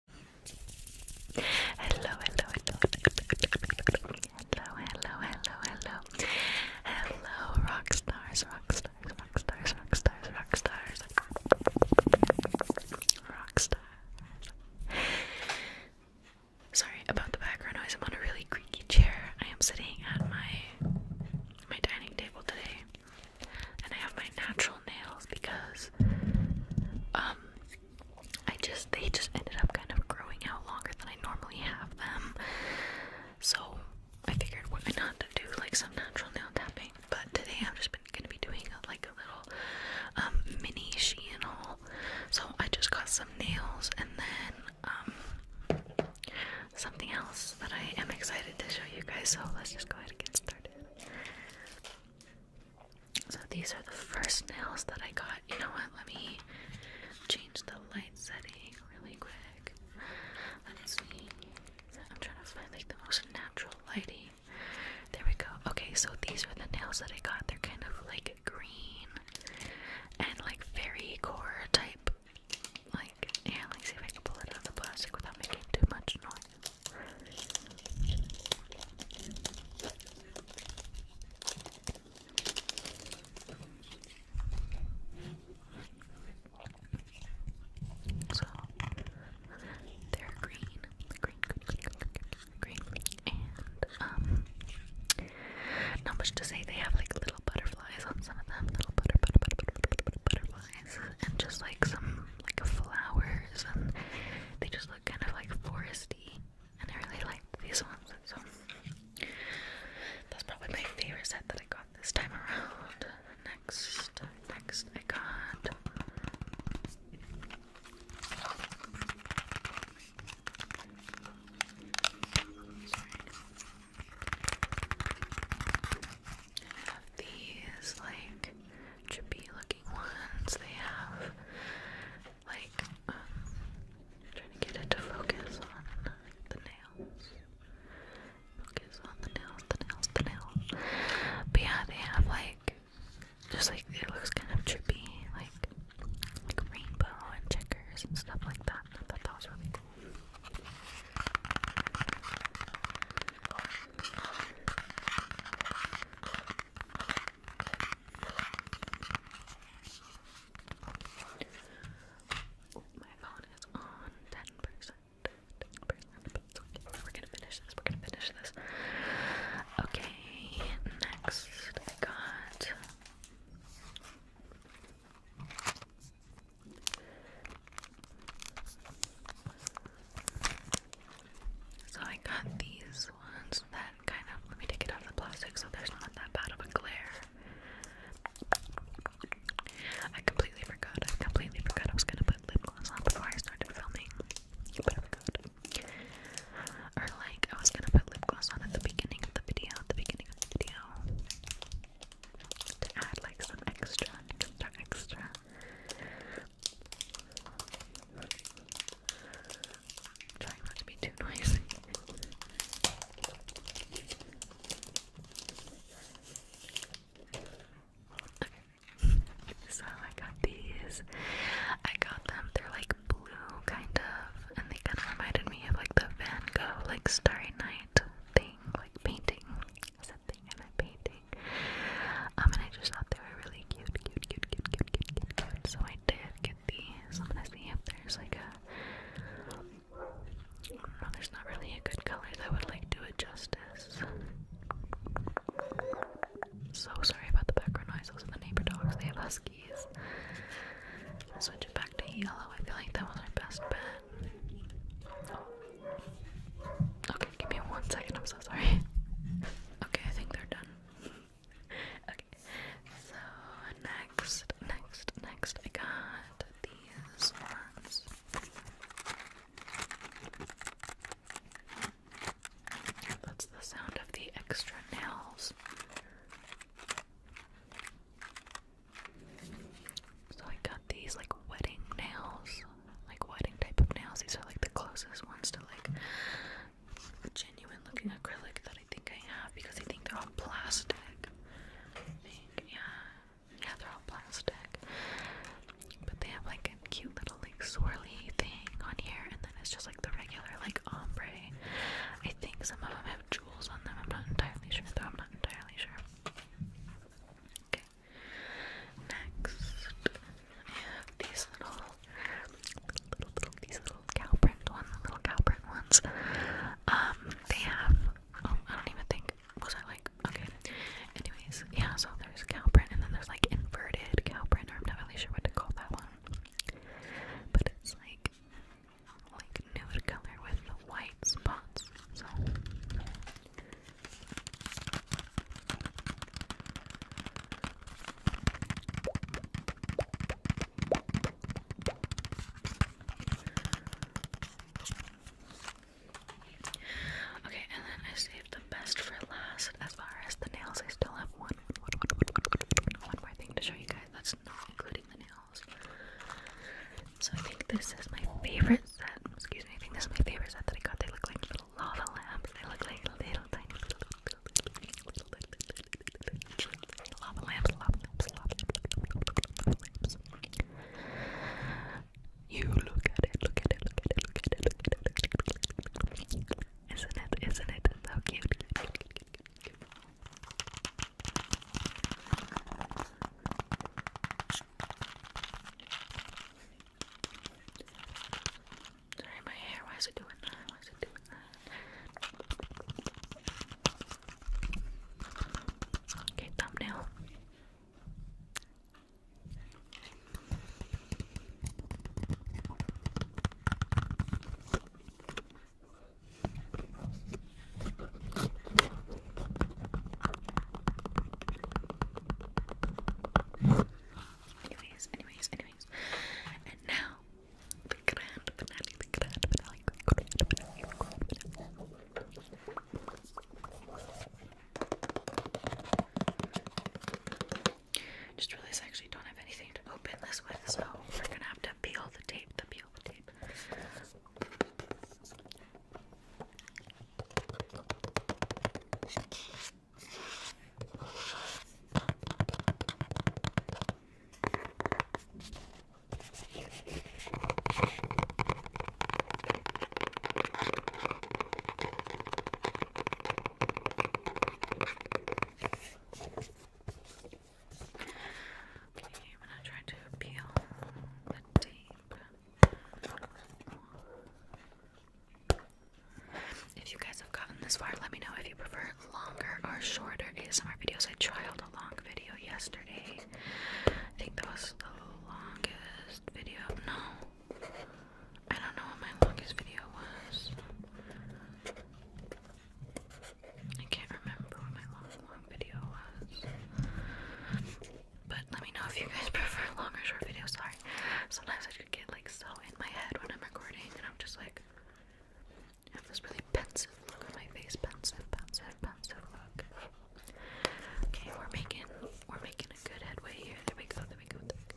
Hello, hello, hello, hello, hello, hello, hello, hello, hello, rock stars, rock stars, rock stars, rock stars, rock stars, rock stars. Sorry about the background noise. I'm on a really creaky chair. I am sitting at my my dining table today, and I have my natural nails because um, I just they just ended up kind of growing out longer than I normally have them. So I figured why not to do like some natural nail tapping. But today I'm just gonna be doing like a little um mini Shein haul. So I just got some nails and then um, something else that I am excited to show you guys. So let's just go ahead and get started. So these are the first nails that I got. You know what? Let me change the light setting really quick. Let's see. I'm trying to find like the most natural lighting. There we go. Okay, so these are the nails that I got. They're kind of like green and like very core type. Like, yeah, let me see if I can pull it out of the plastic without making too much noise. So they're green, green, green, green, green, green, green. and um, not much to say. They have like little butterflies on some of them, little butter, butter, butter, butter, butter, butter, butter butterflies and just like some like flowers, and they just look kind of like foresty, and I really like these ones. So that's probably my favorite set that I got this time around. Next, next I got. these like chippy looking ones. They have like um, trying to get it to focus on the nails. Focus on the nails, the nails, the nails. But yeah, they have like just like it looks kind of trippy, like like rainbow and checkers and stuff like that. I thought that was really cool my phone is on ten percent. We're gonna finish this. We're gonna finish this. Okay. Next, I got so I got these ones that kind of let me take it out of the plastic so there's not that bad of a glare. I completely forgot. I completely forgot I was gonna put lip gloss on before I started filming. Or like I was gonna put lip gloss on at the beginning of the video, at the beginning of the video. To add like some extra, extra, extra. I'm trying not to be too noisy. So I got these. I got them. They're like blue, kind of, and they kind of reminded me of like the Van Gogh, like Starry Night thing, like painting. Is something in a painting. Um, and I just thought they were really cute, cute, cute, cute, cute, cute, cute, cute. So I did get these. I'm gonna see if there's like a. No, there's not really a good color that would like do it justice. So sorry about the background noise. Those are the neighbor dogs. They have huskies. Switch it back to yellow. I feel like that was our best bet. Oh, Okay, give me one second. I'm so sorry. Okay, I think they're done. okay, so next, next, next, I got these ones. That's the sound of the extra nails. So I got these like wedding nails, like wedding type of nails. These are like the closest ones to like genuine looking acrylic that I think I have because I think they're all plastic. yeah, yeah, they're all plastic. But they have like a cute little like swirly thing on here, and then it's just like the regular like ombre. I think some of them have jewels on them. I'm not entirely sure, though. I'm not entirely sure. Okay. Next, I have these little, little, little these little cow print ones, little cow print ones. Um, they have. Oh, I don't even think. Was I like okay? Anyways, yeah. So there's cow print, and then there's like inverted cow print, or I'm not really sure what to call that one. But it's like like nude color with white spots. So Okay, and then I saved the best for last. As far as the nails, I still have one, one, one, one, one, one, one more thing to show you guys. That's not including the nails. So I think this is my favorite set. Excuse me, I think this is my favorite set that I got. They look like little lava lamps. They look like little tiny little, little, little, little, little lava lamps, lava lamps, lava lamps. You look at it, look at it, look at it, look at it, look at it, look at it. Isn't it? Isn't it so cute? cute, cute, cute, cute, cute. Sorry, my hair. Why is it doing that? Why is it doing that? Okay, thumbnail. Anyways, anyways, anyways. And now the grand finale, the grand finale, the grand finale, the grand finale. Just realized I actually don't have anything to open this with, so we're gonna have to peel the tape, the peel the tape. Okay, i try to peel the tape. If you guys have gotten this far, let me know if you prefer longer or shorter ASMR videos. I tried a long video yesterday. I think that was the longest video. No, I don't know what my longest video was. I can't remember what my long, long video was. But let me know if you guys prefer long or short videos. Sorry, sometimes I could get like so in my head when I'm recording, and I'm just like, I have this really pensive look on my face, pensive, pensive, pensive Okay, we're making we're making a good headway here. There we go. There we go. There we go.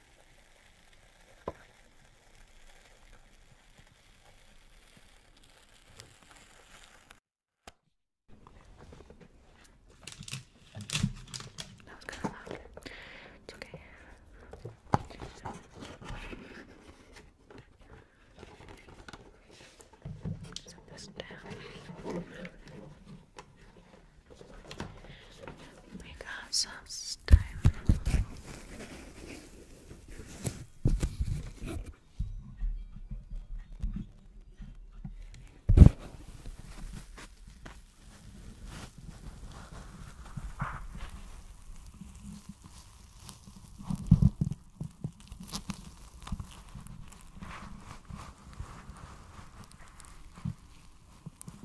That was kind of loud. It's okay. Set this down. We got some time.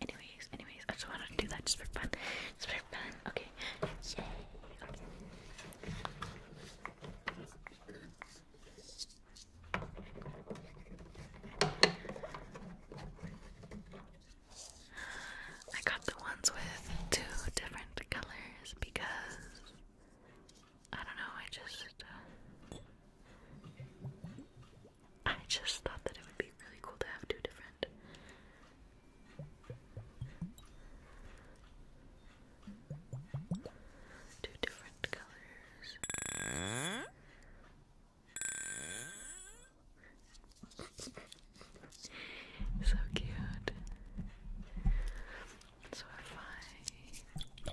Anyways, anyways, I just wanted to do that just for fun. Just for fun. Okay, Yay. I got the ones with two different colors because I don't know, I just uh, I just thought that it would be really cool to have two different Two different colors. so cute. So if I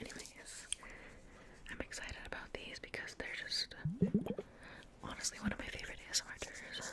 Anyways, I'm excited about these because they're just honestly one of my favorite ASMR tours.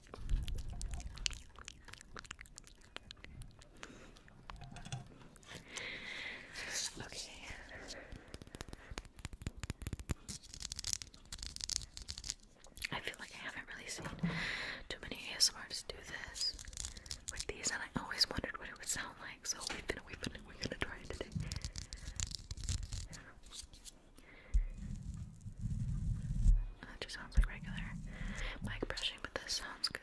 Okay. I feel like I haven't really seen too many ASMRs do this with these, and I always wondered what it would sound like. So we've been, we've been, we're gonna try it today. That just sounds like regular mic brushing, but this sounds good.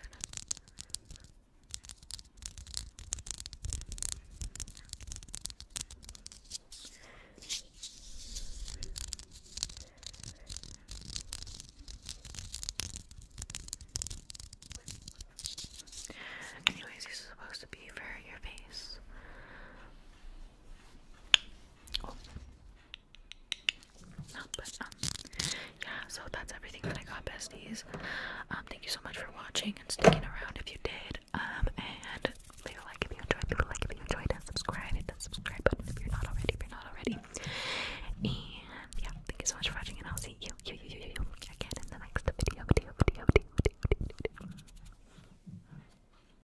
Anyways, these are supposed to be for your face. Oh. Um, yeah. So that's everything that I got, besties. Um, thank you so much for watching and sticking around if you did. Um, and leave a like if you enjoyed. Leave a like if you enjoyed, and subscribe. Hit that subscribe button if you're not already. If you're not already. And yeah, thank you so much for watching, and I'll see you, you, you, you, you again in the next video, video. video, video.